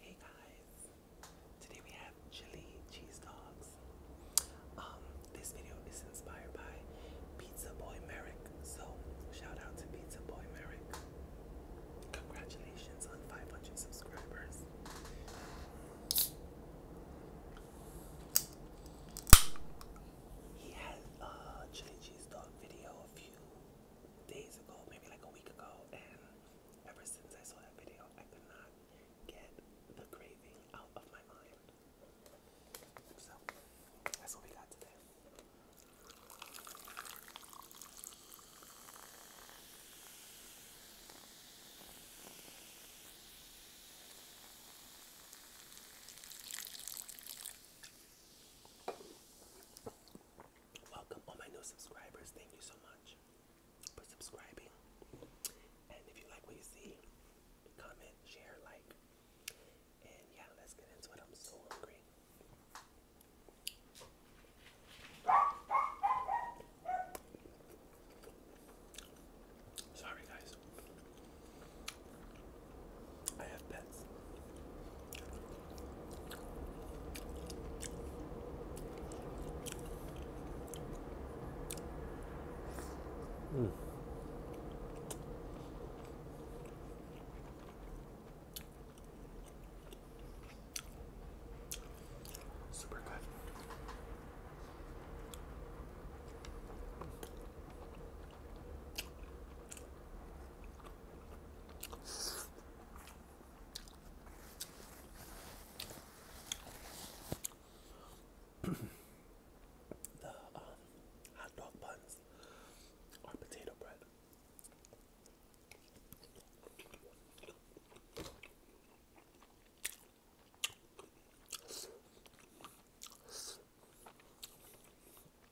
Hey guys, today we have chili cheese dogs. Um, this video is inspired by Pizza Boy Merrick, so shout out to Pizza Boy Merrick. Congratulations on 500 subscribers. He had a chili cheese dog video a few days ago, maybe like a week ago, Ever since I saw that video, I could not get the craving out of my mind. So, that's what we got today. Welcome all my new subscribers. Thank you so much for subscribing. And if you like what you see, comment, share, like. And yeah, let's get into it. I'm so hungry. Sorry, guys. I have pets. Mm. Super good the uh, hot dog buns are potato bread.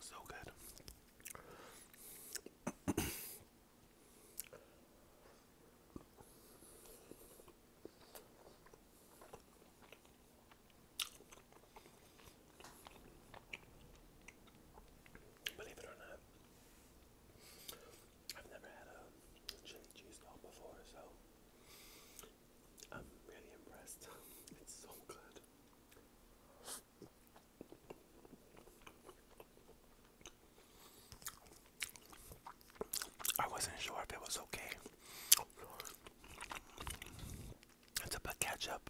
So good. Believe it or not, I've never had a chili cheese dog before, so I'm really impressed. It's so good. I wasn't sure if it was okay. To put ketchup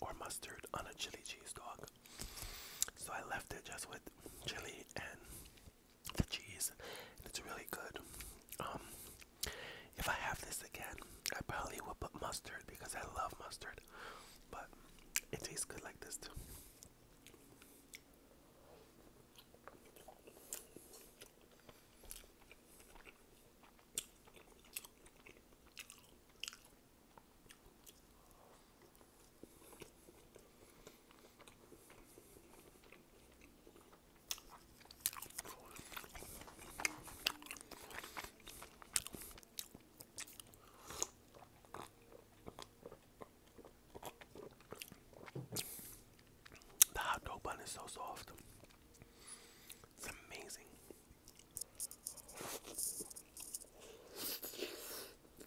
or mustard on a chili cheese dog. So I left it just with chili and the cheese. It's really good. Um, if I have this again, I probably will put mustard because I love mustard. But it tastes good like this too. The hot dog bun is so soft. It's amazing.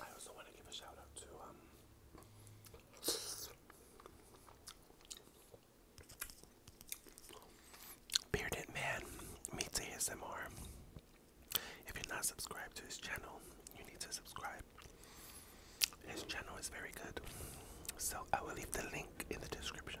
I also want to give a shout out to um Bearded Man meets ASMR. If you're not subscribed to his channel, you need to subscribe. His channel is very good. So I will leave the link in the description.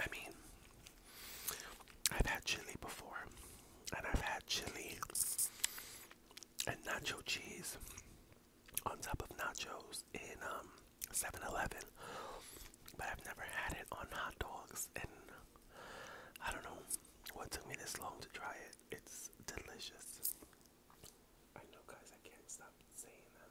I mean, I've had chili before, and I've had chili and nacho cheese on top of nachos in um 7-Eleven, but I've never had it on hot dogs, and I don't know what took me this long to try it. It's delicious. I know, guys. I can't stop saying that.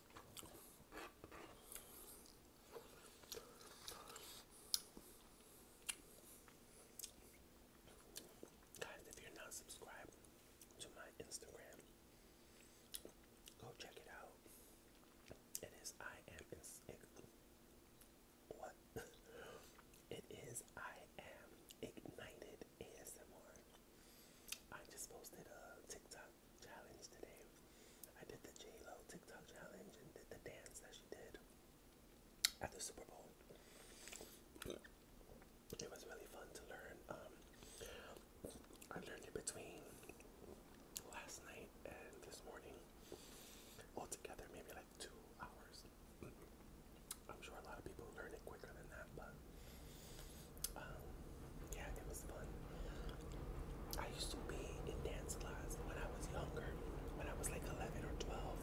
Guys, if you're not subscribed to my Instagram, go check it out. It is I am it is I am ignited ASMR. I just posted a TikTok challenge today. I did the J-Lo TikTok challenge and did the dance that she did at the Super Bowl. It was really fun to learn. Um, I learned it between last night and this morning. Altogether, maybe like two hours. I'm sure a lot of people learn it quicker than that, but um, yeah, it was fun. I used to be in dance class when I was younger, when I was like 11 or 12,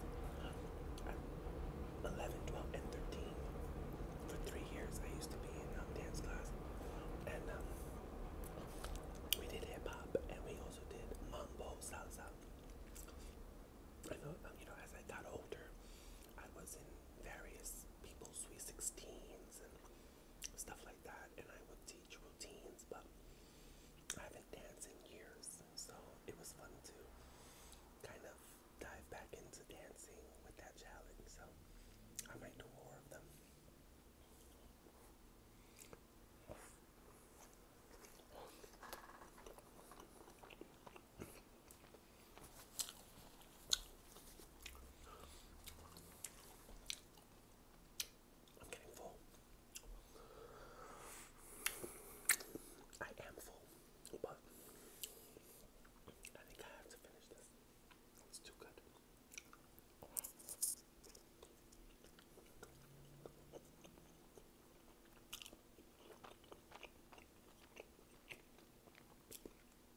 and 13. For three years, I used to be in um, dance class, and um, we did hip hop, and we also did mambo salsa. I know, you know, as I got older, I was in various people's sweet 16s stuff like that, and I would teach routines, but I haven't danced in years, so it was fun to kind of dive back into dancing with that challenge. So I might do more of them. I'm getting full. I am full, but I think I have to finish this. It's too good.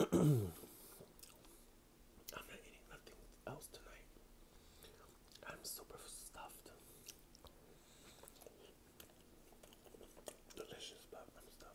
I'm not eating nothing else tonight. I'm super stuffed. Delicious, but I'm stuffed.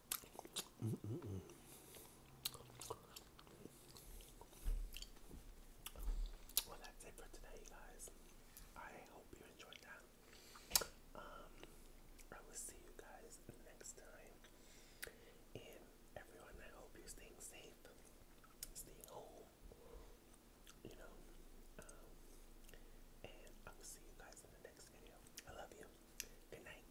Well, that's it for today, guys. I hope you enjoyed that. Um, I will see you guys next time. And everyone, I hope you're staying safe, staying home, you know. Um, and I will see you guys in the next video. I love you. Good night.